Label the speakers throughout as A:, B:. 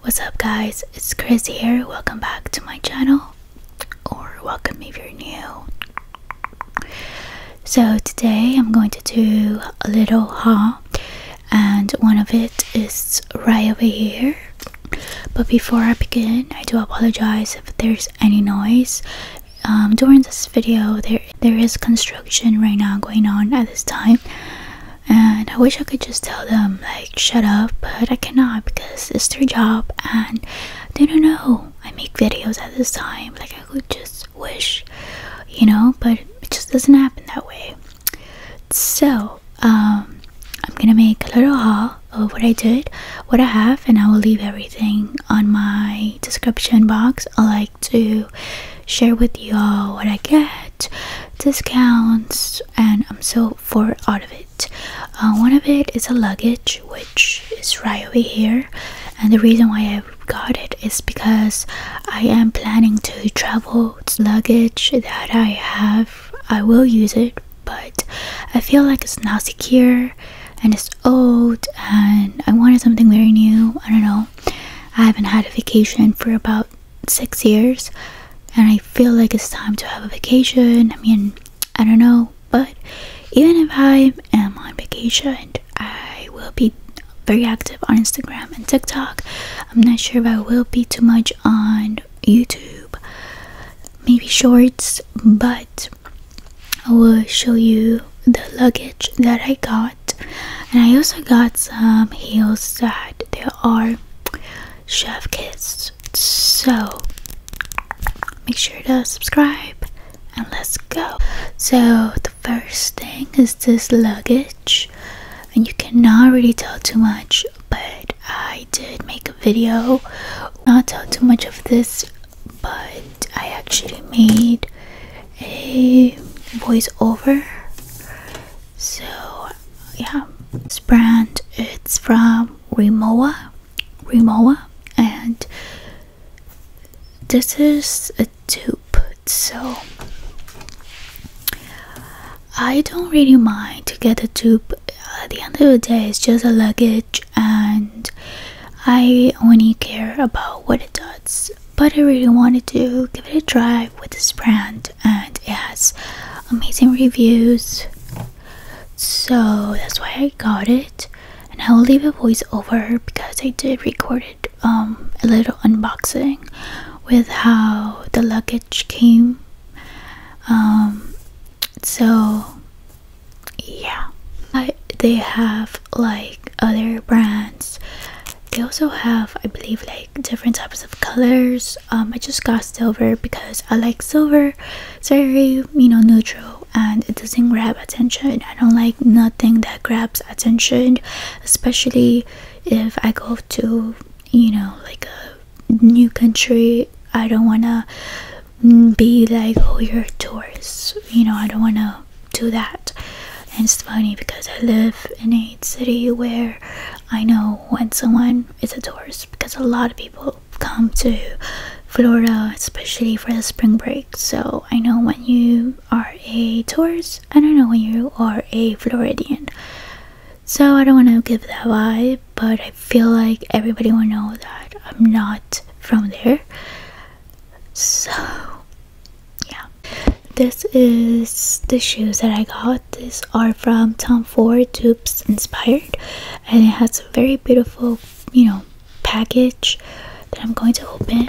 A: What's up guys, it's Chris here. Welcome back to my channel or welcome if you're new. So today I'm going to do a little haul and one of it is right over here. But before I begin, I do apologize if there's any noise. Um, during this video there there is construction right now going on at this time and I wish I could just tell them like shut up but I cannot because it's their job and they don't know I make videos at this time like I could just wish you know but it just doesn't happen that way so um I'm gonna make a little haul of what I did what I have and I will leave everything on my description box I like to share with you all what I get discounts and I'm so far out of it. Uh, one of it is a luggage which is right over here and the reason why I got it is because I am planning to travel it's luggage that I have. I will use it but I feel like it's not secure and it's old and I wanted something very new. I don't know. I haven't had a vacation for about six years and I feel like it's time to have a vacation. I mean, I don't know, but even if I am on vacation, I will be very active on Instagram and TikTok. I'm not sure if I will be too much on YouTube, maybe shorts, but I will show you the luggage that I got. And I also got some heels there are chef kits. So make sure to subscribe and let's go. So the first thing is this luggage, and you cannot really tell too much, but I did make a video. Not tell too much of this, but I actually made a voiceover. So yeah this brand it's from Rimowa Rimowa and this is a tube. so I don't really mind to get a tube. at the end of the day it's just a luggage and I only care about what it does but I really wanted to give it a try with this brand and it has amazing reviews so that's why i got it and i will leave a voiceover because i did record it um a little unboxing with how the luggage came um so yeah but they have like other brands they also have i believe like different types of colors um i just got silver because i like silver it's very you know neutral and it doesn't grab attention i don't like nothing that grabs attention especially if i go to you know like a new country i don't want to be like oh you're a tourist you know i don't want to do that and it's funny because i live in a city where I know when someone is a tourist because a lot of people come to Florida, especially for the spring break. So I know when you are a tourist, I don't know when you are a Floridian. So I don't want to give that vibe, but I feel like everybody will know that I'm not from there. So, yeah. This is the shoes that I got. These are from Tom Ford Tubes inspired and it has a very beautiful, you know, package that I'm going to open.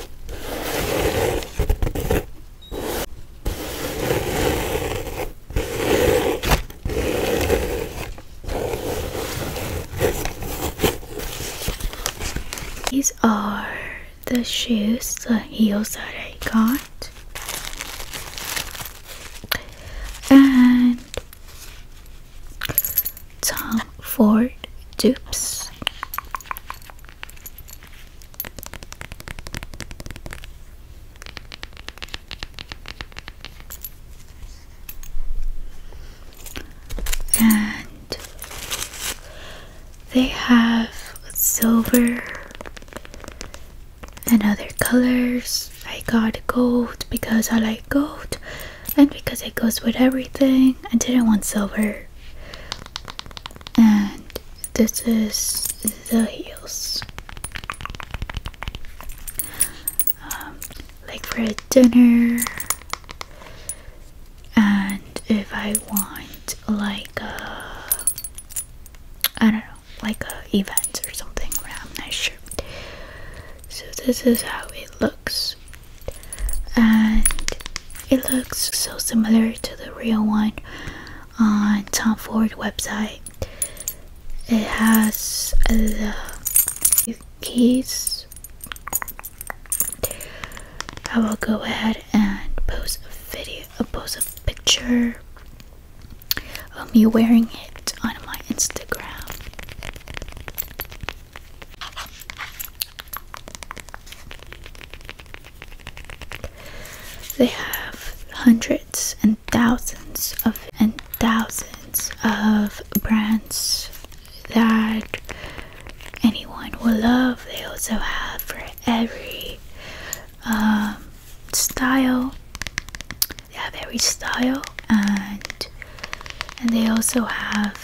A: These are the shoes, the heels that I got. And Tom Ford dupes. And they have silver and other colors. I got gold because I like gold and because it goes with everything. I didn't want silver and this is the heels um, like for a dinner and if I want like a I don't know like a event or something I'm not sure so this is how it looks and it looks so similar to the real one on Tom Ford website. It has the keys. I will go ahead and post a video, uh, post a picture of me wearing it on my Instagram. They have hundreds and thousands of and thousands of brands that anyone will love. They also have for every um, style. They have every style and and they also have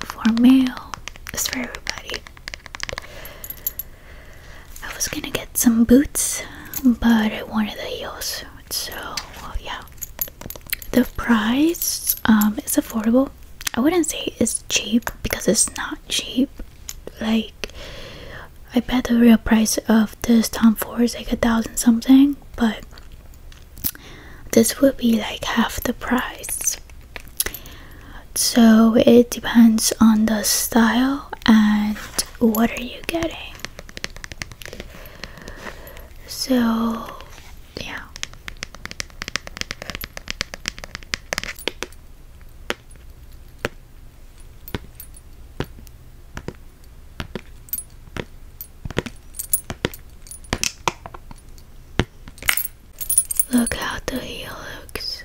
A: for mail is for everybody. I was gonna get some boots, but I wanted the heels, so yeah. The price um, is affordable. I wouldn't say it's cheap because it's not cheap. Like, I bet the real price of this Tom Ford is like a thousand something, but this would be like half the price so it depends on the style and what are you getting so yeah Look how the heel looks.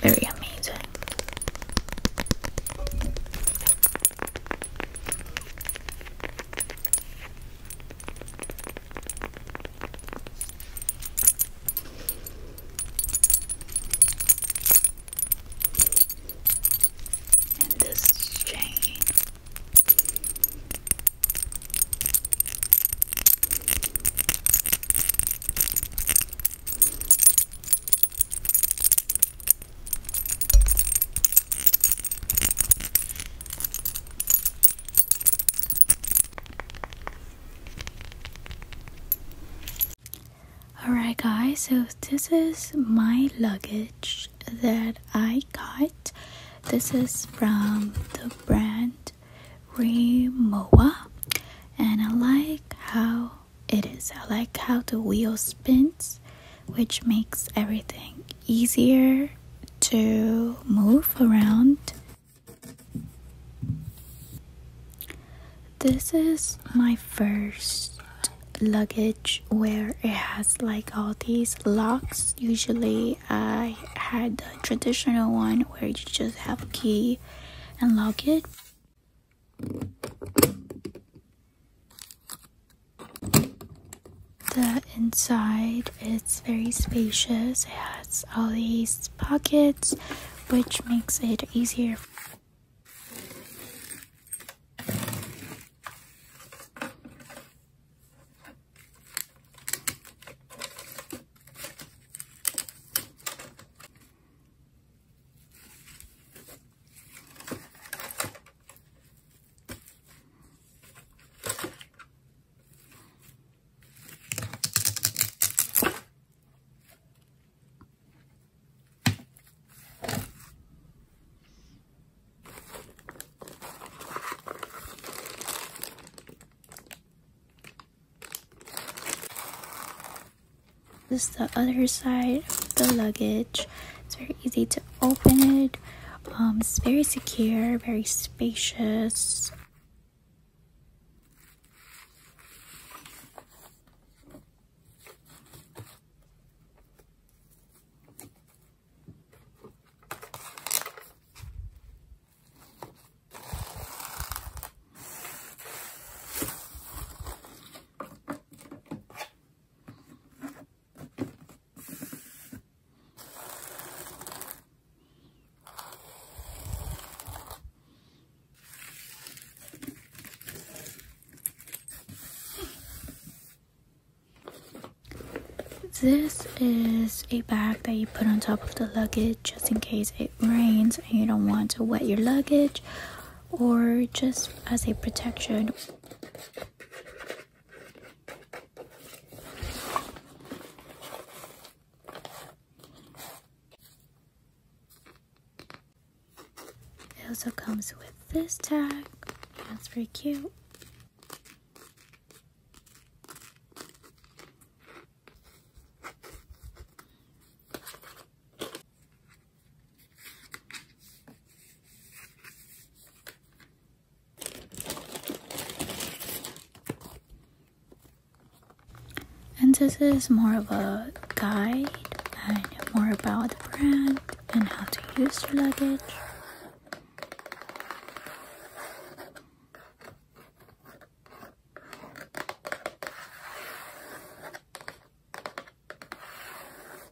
A: Very amazing. And this chain. Alright, guys, so this is my luggage that I got. This is from the brand Remoa, and I like how it is. I like how the wheel spins, which makes everything easier to move around. This is my first luggage where it has like all these locks. Usually I had the traditional one where you just have a key and lock it. The inside is very spacious. It has all these pockets, which makes it easier this is the other side of the luggage. It's very easy to open it. Um, it's very secure, very spacious. This is a bag that you put on top of the luggage just in case it rains and you don't want to wet your luggage or just as a protection. It also comes with this tag. That's pretty cute. And this is more of a guide and more about the brand and how to use your luggage.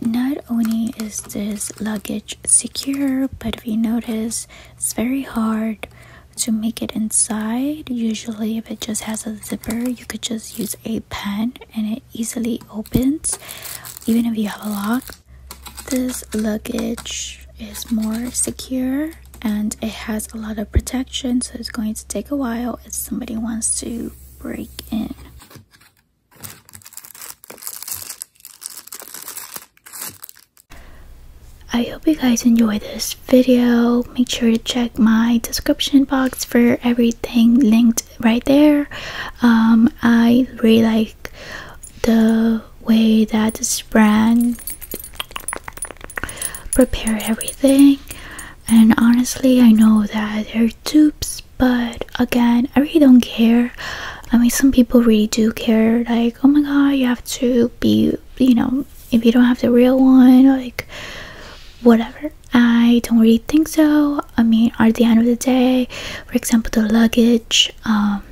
A: Not only is this luggage secure, but if you notice it's very hard to make it inside. Usually, if it just has a zipper, you could just use a pen and it easily opens, even if you have a lock. This luggage is more secure and it has a lot of protection, so it's going to take a while if somebody wants to break in. I hope you guys enjoy this video. Make sure to check my description box for everything linked right there. Um, I really like the way that this brand prepared everything and honestly I know that there are dupes, but again, I really don't care. I mean, some people really do care, like, oh my god, you have to be, you know, if you don't have the real one, like, whatever. I don't really think so. I mean, at the end of the day, for example, the luggage, um,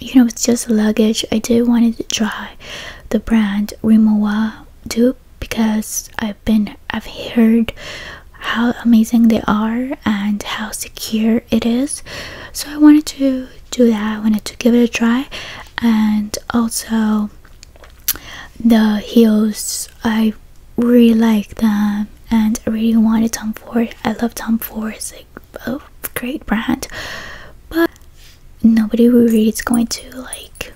A: you know, it's just luggage. I did wanted to try the brand Rimowa dupe because I've been I've heard how amazing they are and how secure it is so i wanted to do that i wanted to give it a try and also the heels i really like them and i really wanted tom ford i love tom ford it's like a great brand but nobody really is going to like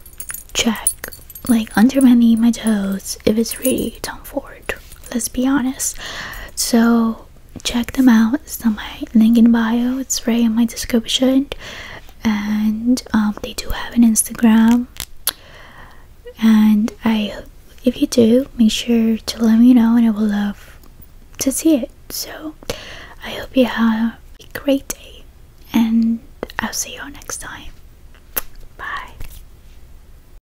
A: check like under my knee my toes if it's really tom ford let's be honest so check them out it's on my link in bio it's right in my description and um, they do have an instagram and i if you do make sure to let me know and i would love to see it so i hope you have a great day and i'll see you all next time bye